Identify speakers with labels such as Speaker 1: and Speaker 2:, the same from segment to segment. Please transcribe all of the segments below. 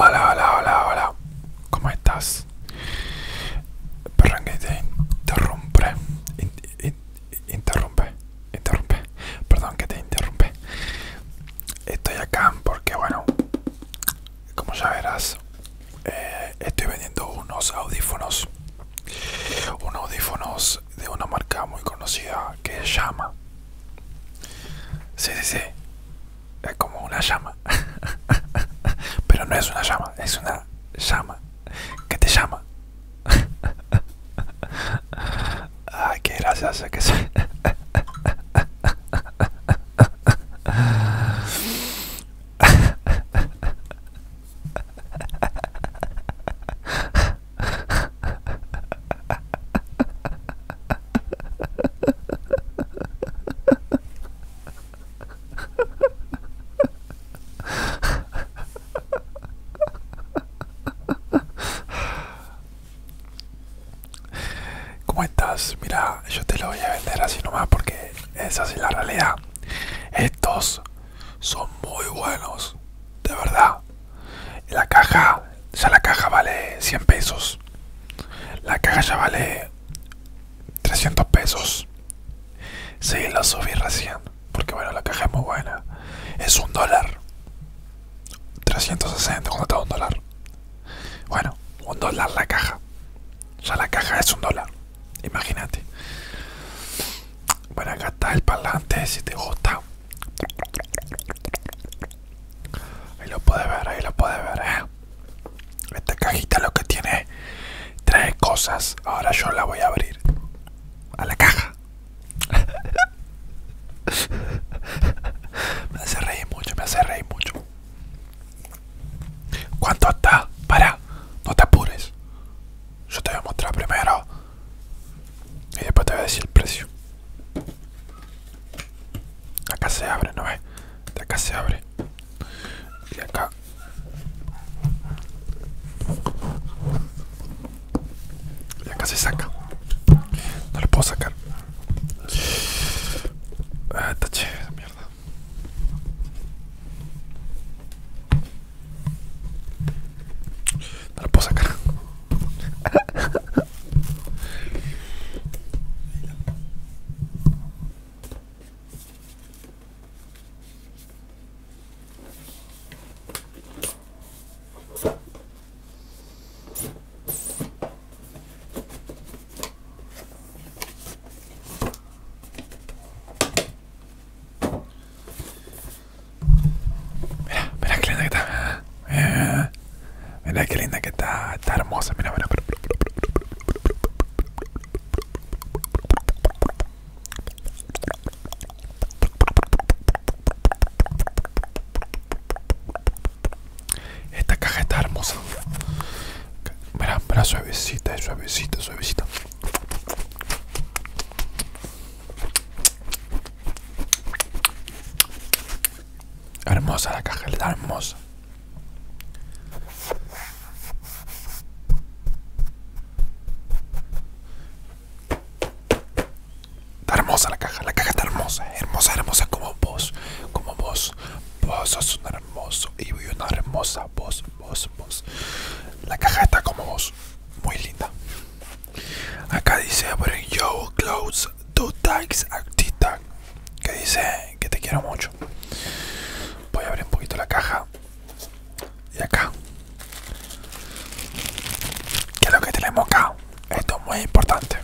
Speaker 1: Hola, hola, hola, hola. ¿Cómo estás? Perdón que te interrumpe. interrumpe, interrumpe. Perdón que te interrumpe. Estoy acá porque, bueno, como ya verás, eh, estoy vendiendo unos audífonos unos audífonos de una marca muy conocida que es Llama. si dice Es como una llama. Pero no es una llama, es una llama que te llama. Ay, qué sé que sí ¿Cómo estás? Mira, yo te lo voy a vender así nomás porque es así la realidad. Estos son muy buenos, de verdad. La caja, ya la caja vale 100 pesos. La caja ya vale 300 pesos. Sí, la subí recién, porque bueno, la caja es muy buena. Es un dólar. 360 cuando está un dólar. Bueno, un dólar la caja. Ya la caja es un dólar. Imagínate. Bueno, acá está el parlante, si te gusta. Ahí lo puedes ver, ahí lo puedes ver. Eh. Esta cajita lo que tiene tres cosas. Ahora yo la voy a abrir. A la caja. me hace reír mucho, me hace reír mucho. ¿Cuánto está? Para, no te apures. Yo te voy a mostrar primero y después te voy a decir el precio. Acá se abre, ¿no ves? acá se abre. Y acá. Y acá se saca. No lo puedo sacar. Ah, Esta mierda. No lo puedo sacar. Mira, mira qué linda que está. Mira, mira qué linda que está. Está hermosa. Mira, mira. Esta caja está hermosa. Mira, mira suavecita, eh, suavecita, suavecita. Hermosa la caja, está hermosa. Está hermosa la caja, la caja está hermosa, hermosa, hermosa como vos, como vos. Vos sos un hermoso y una hermosa vos, vos, vos. La caja está como vos, muy linda. Acá dice, yo your clothes two tags Actita, que dice que te quiero mucho. Voy a abrir un poquito la caja. Y acá. ¿Qué es lo que tenemos acá? Esto es muy importante.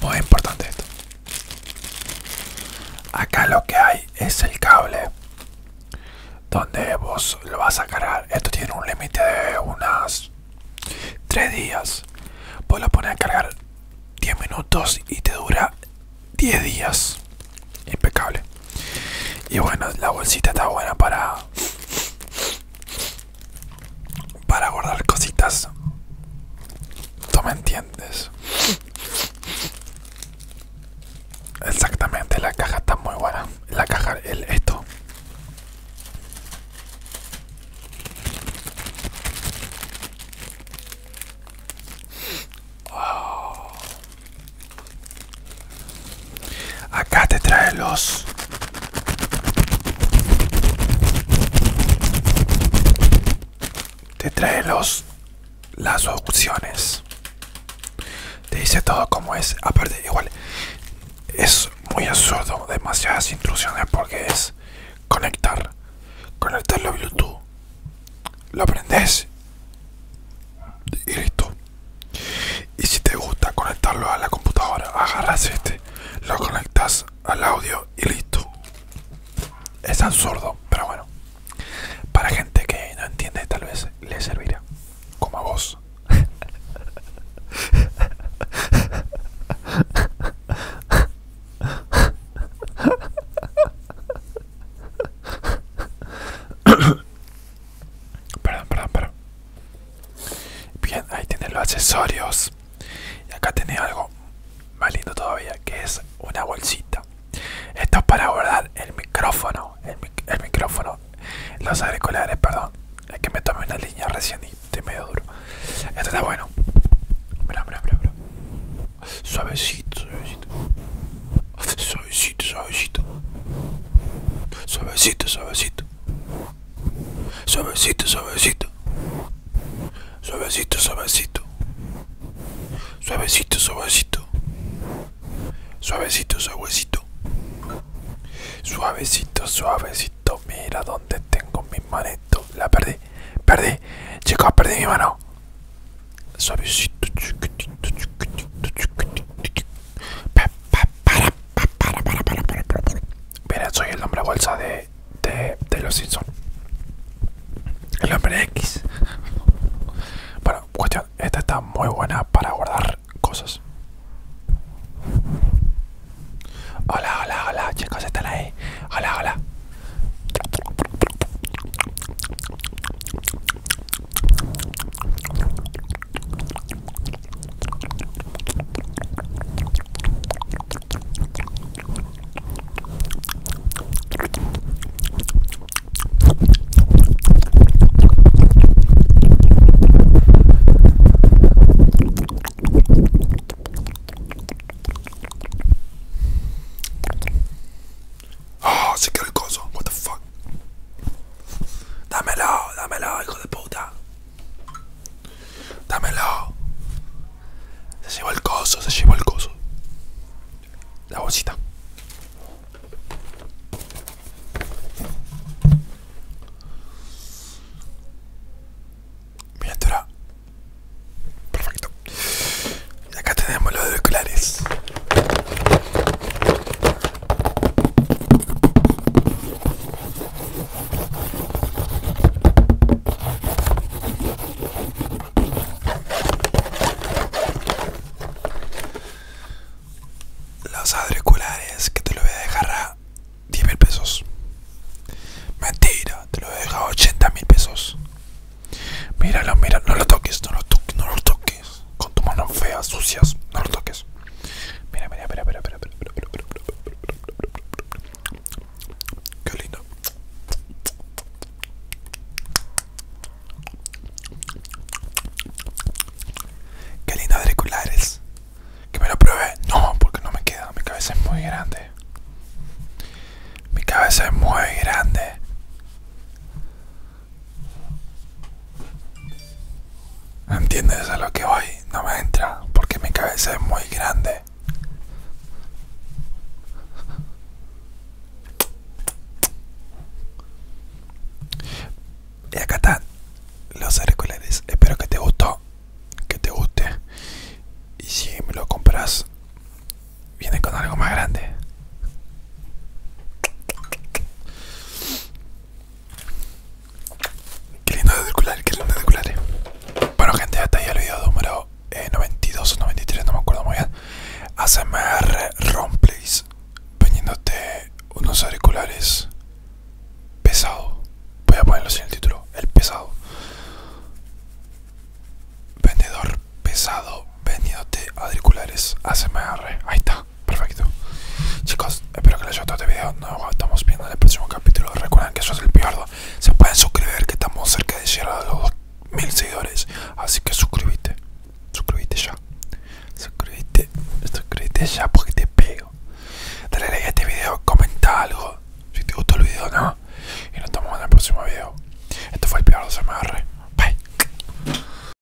Speaker 1: Muy importante esto. Acá lo que hay es el cable donde vos lo vas a cargar. Esto tiene un límite de unas Tres días. Vos lo pones a cargar 10 minutos y te dura 10 días. Impecable. Y bueno, la bolsita está buena para para guardar cositas. ¿Tú me entiendes? Exactamente, la caja está muy buena. La caja, el esto, Acá te trae los te trae los las opciones te dice todo como es. Aparte, igual es muy absurdo. Demasiadas intrusiones porque es conectar. Conectarlo a Youtube, Lo aprendes y listo. Y si te gusta conectarlo a la computadora, agarras este, lo conectas al audio y listo. Es absurdo, pero bueno. Para gente que no entiende, tal vez le servirá como a vos. perdón, perdón, perdón. Bien, ahí tienen los accesorios. Y acá tenés algo más lindo todavía, que es una bolsita. Esto es para guardar el micrófono. el micrófono los agriculares, perdón. Es que me tomé una línea recién y te medio duro. Esto está bueno. Suavecito, suavecito. Suavecito, suavecito. Suavecito, suavecito. Suavecito, suavecito. Suavecito, suavecito. Suavecito, suavecito. Suavecito, suavecito. Suavecito, suavecito. Mira dónde tengo mis manitos La perdí. Perdí. Chicos, perdí mi mano. Suavecito, Mira, soy el hombre bolsa de, de, de los Simpsons. El hombre X. Bueno, cuestión esta está muy buena para guardar cosas. Hola, hola, hola, chicos, están ahí. Hola, hola. Oh, ah, se quedó el coso, what the fuck. Dámelo, dámelo, hijo de puta. Dámelo. Se llevó el coso, se llevó el coso la bolsita. Miniatura. Perfecto. Y acá tenemos los auriculares. Los auriculares que te lo voy a dejar a 10 pesos. Mentira, te lo voy a dejar pesos. Míralo, mira, no lo toques, no lo toques, no lo toques. Con tus manos feas, sucias, no lo toques. Mira, mira, mira, mira, espera, Qué lindo auriculares. Que me lo pruebe. No, porque no me queda. Mi cabeza es muy grande. Mi cabeza es muy grande. ¿Entiendes a lo que voy? No me entra porque mi cabeza es muy grande. Y acá están los auriculares. Espero que te gustó. Que te guste. Y si me lo compras, viene con algo más grande. Qué lindo circular qué lindo circular Bueno gente, hasta ahí el video número 92 eh, o 93, no me acuerdo muy bien. ASMR Romplays Vendiéndote unos auriculares pesado. Voy a así en el título, el pesado. Vendedor pesado vendiéndote auriculares ASMR. Ahí está, perfecto. Chicos, espero que les haya gustado este video. Nos estamos viendo en el próximo capítulo. Recuerden que eso es el peor se pueden suscribir que estamos cerca de llegar a los mil seguidores. Así que suscríbete. Suscríbete ya. Suscríbete. Suscríbete ya porque te pego. Dale like a este video. Comenta algo. Si te gustó el video, no. Y nos vemos en el próximo vídeo Esto fue el peor de MR. Bye.